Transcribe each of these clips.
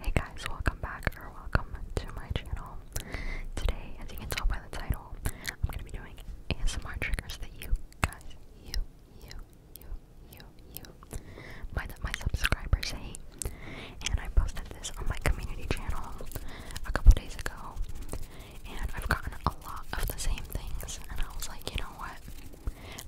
Hey guys, welcome back or welcome to my channel. Today, as you can tell by the title, I'm gonna be doing ASMR triggers that you guys, you, you, you, you, you, my my subscribers hate. And I posted this on my community channel a couple days ago, and I've gotten a lot of the same things. And I was like, you know what?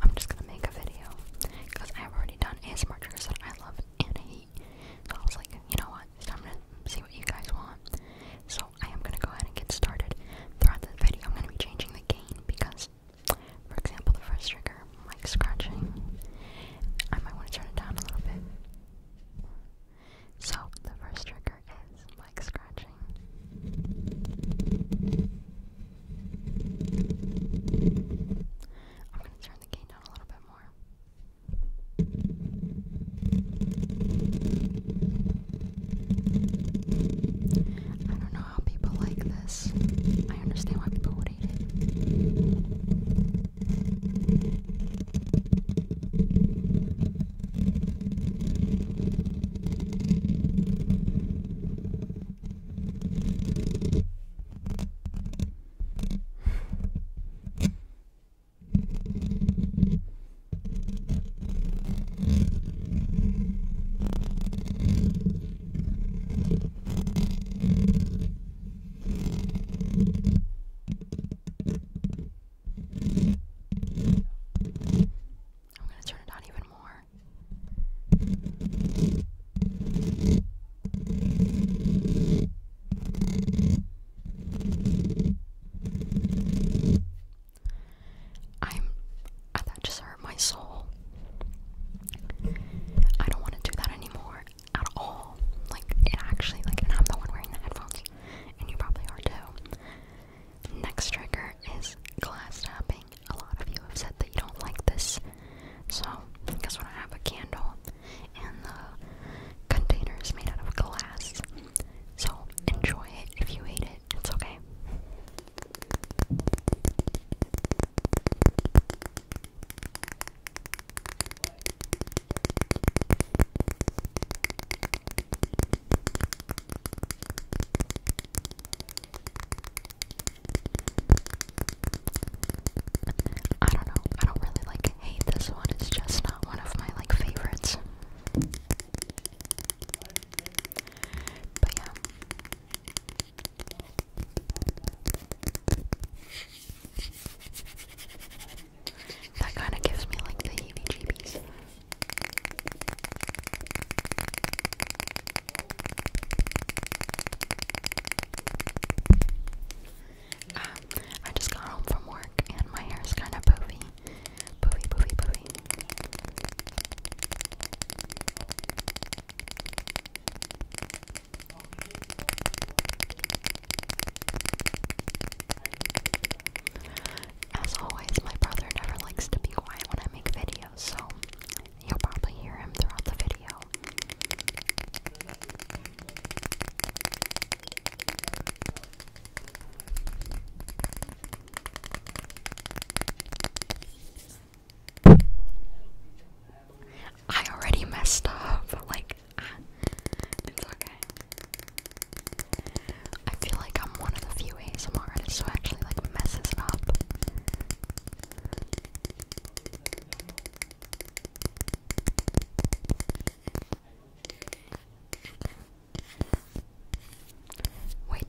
I'm just gonna make a video because I've already done ASMR triggers that I love and hate. So I was like, you know what? It's time to see what you guys want. So I am gonna go ahead and get started. Throughout this video, I'm gonna be changing the gain because, for example, the first trigger, like scratching, I might want to turn it down a little bit. So the first trigger is like scratching. I'm going to turn the gain down a little bit more. I don't know how people like this. I understand why people would hate it. I'm going to turn it on even more. I'm that just hurt my soul. I don't want to do that anymore at all. Like it actually like I'm the one wearing the headphones and you probably are too. Next trigger is glass tapping a lot of you have said that you don't like this. So, guess what? I have a candle, and the container is made out of glass. So, enjoy it if you eat it, it's okay. I don't know. I don't really like hate this one. It's just not one of my like favorites. But yeah. That kind of gives me like the heebie jeebies. Um, I just got home from work and my hair's kind of poofy. Poofy, poofy, poofy. As always, my brother never likes to be quiet when I make videos, so You'll probably hear him throughout the video. I already messed up, like, ah, it's okay. I feel like I'm one of the few Wait, that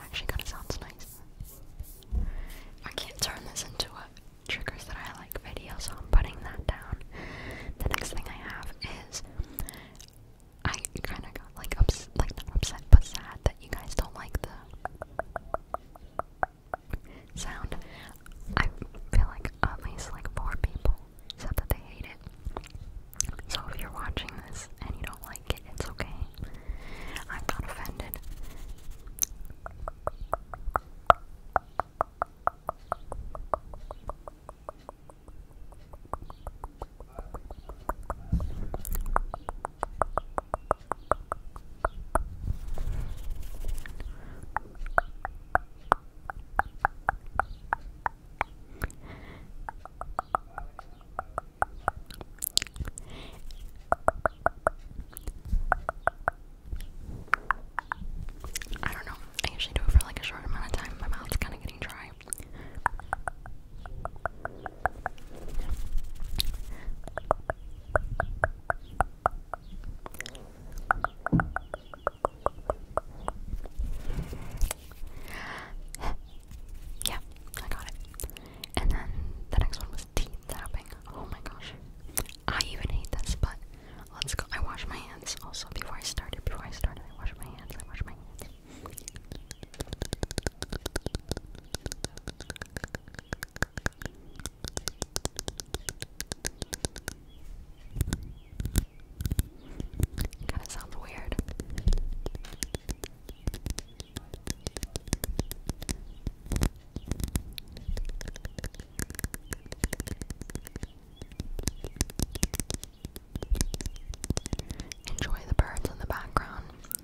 actually kind of sounds nice. I can't turn this into a uh, triggers that I like video, so I'm putting that down. The next thing I have is I kind of got like ups like not upset but sad that you guys don't like the sound. I feel like at least like four people said that they hate it. So if you're watching this and you don't like it, it's okay. I'm not offended. I don't know. I usually do it for like a short amount of time. My mouth's kind of getting dry. yeah, I got it. And then the next one was teeth Oh my gosh. I even hate this, but let's go. I wash my hands also before I started. Before I started, I wash my hands. I wash my hands. Kind of sounds weird. Enjoy the birds in the background. Ow,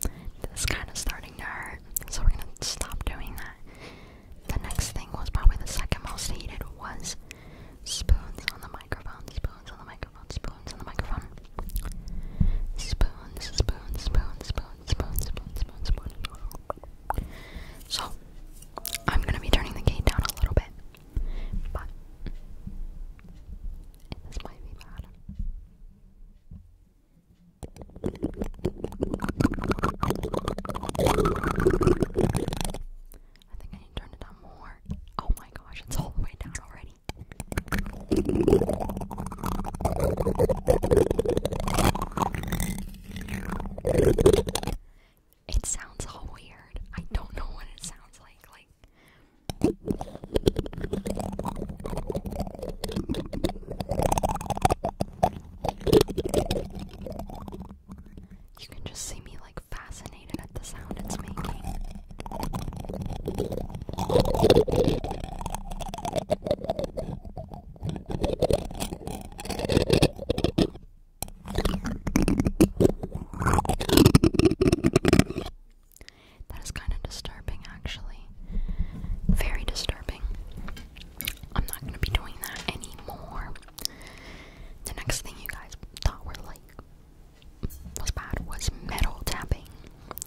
this is kind of starting to hurt, so we're gonna stop doing that. The next thing was probably the second most hated was spoons on the microphone, spoons on the microphone, spoons on the microphone. Spoon, spoon, spoon, spoon, spoon, spoon, spoon, spoon. So, I'm gonna be turning the gate down a little bit, but this might be bad. I think I need to turn it down more. Oh my gosh, it's all the way down already. It sounds all weird. I don't know what it sounds like. Like you can just see me like fascinated at the sound it's making. That is kind of disturbing, actually. Very disturbing. I'm not going to be doing that anymore. The next thing you guys thought were like was bad was metal tapping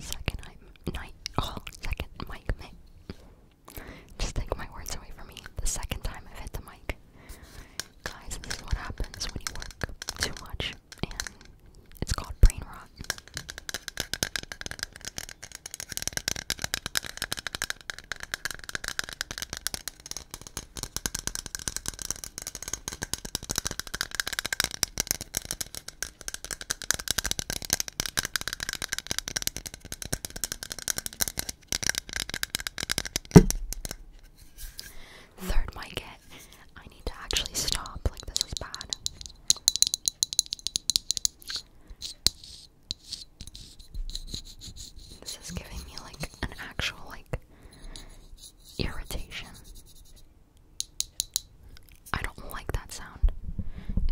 Second night, oh, night, second mic, mic. Just take my words away from me. The second time I've hit the mic. Guys, this is what happens when you work too much, and it's called brain rot. Third mic it. I need to actually stop, like this is bad. This is giving me like an actual like irritation. I don't like that sound.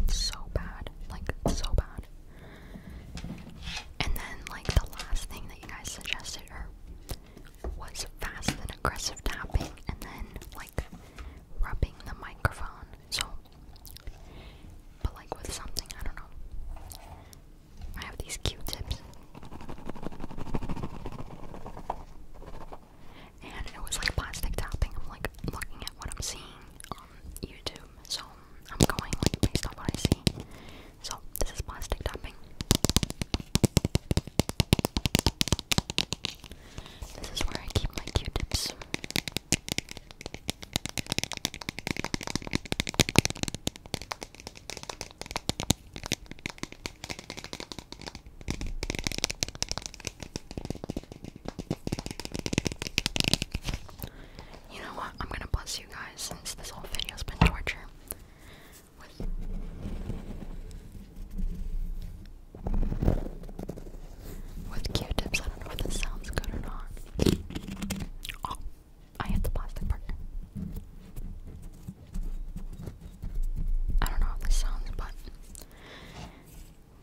It's so bad. Like, so bad. And then, like, the last thing that you guys suggested or was fast and aggressive tapping and then, like, rubbing the microphone. So, but, like, with something, I don't know. I have these Q tips and it was like plastic tapping. I'm like looking at what I'm seeing on YouTube. So I'm going like based on what I see. So this is plastic tapping. This is where I keep my Q-tips. You know what? I'm gonna bless you guys since this whole video's been torture. With Q-tips, I don't know if this sounds good or not. Oh, I hit the plastic part. I don't know how this sounds, but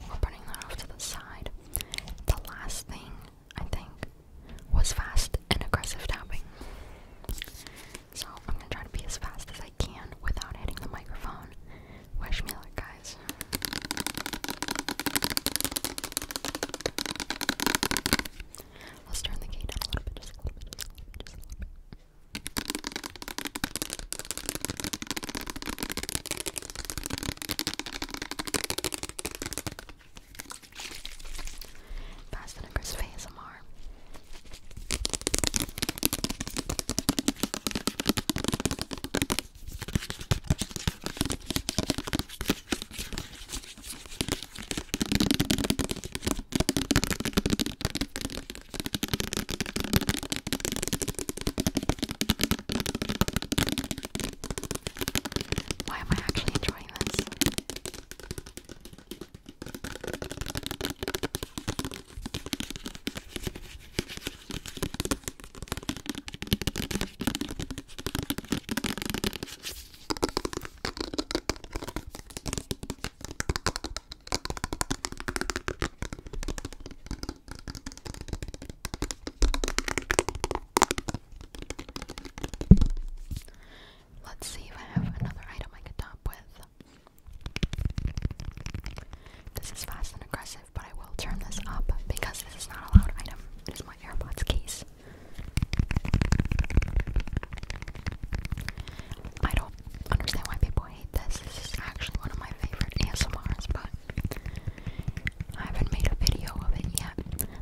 we're putting that off to the side. The last thing, I think, was fast and aggressive tapping. So I'm gonna try to be as fast as I can without hitting the microphone. Wish me luck, guys. Let's turn the gate down a little bit, just a little bit, just a little bit. Fast and Aggressive ASMR. Why am I actually enjoying this? Let's see if I have another item I can top with. This is fast and aggressive, but I will turn this up because this is not a loud item. It is my AirPods case. I understand why people hate this. This is actually one of my favorite ASMRs, but I haven't made a video of it yet.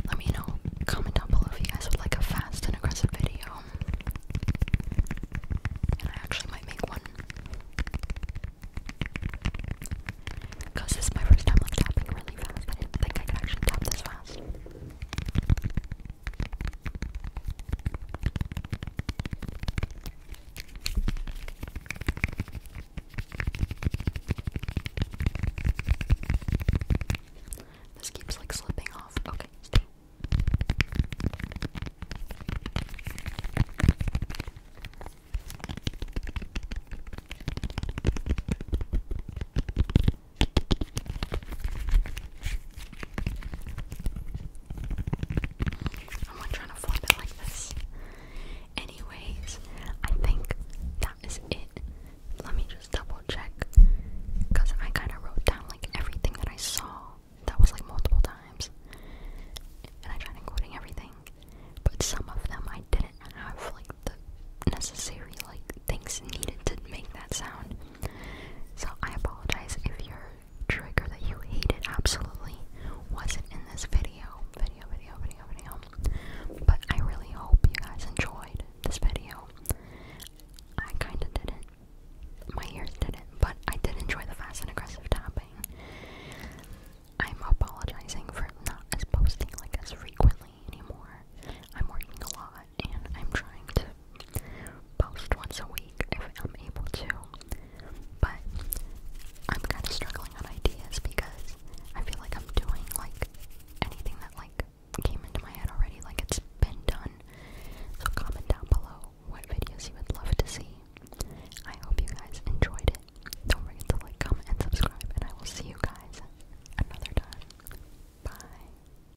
Let me know, comment down below if you guys would like a fast and aggressive video. And I actually might make one. Because this is my first time like tapping really fast. I didn't think I could actually tap this fast. This keeps like slipping off. Okay, stay. I'm like trying to flip it like this. Anyways, I think that is it. Let me just double check. Because I kind of wrote down like everything that I saw. That was like multiple times. And I tried including everything. But some of them I didn't have like the necessary like things needed to make that sound. So I apologize if your trigger that you hated absolutely wasn't in this video. Video, video, video, video. But I really hope you guys enjoyed this video. I kinda didn't. My ears didn't, but I did enjoy the fast and aggressive tapping. I'm apologizing for not as posting like as frequently anymore. I'm working a lot and I'm trying to post once a week if I'm able to. But I'm kind of struggling on ideas because I feel like I'm doing like anything that like came into my head already, like it's been done. So comment down below what videos you would love to see. I hope you guys enjoyed it. Don't forget to like, comment, and subscribe, and I will see you guys another time. Bye.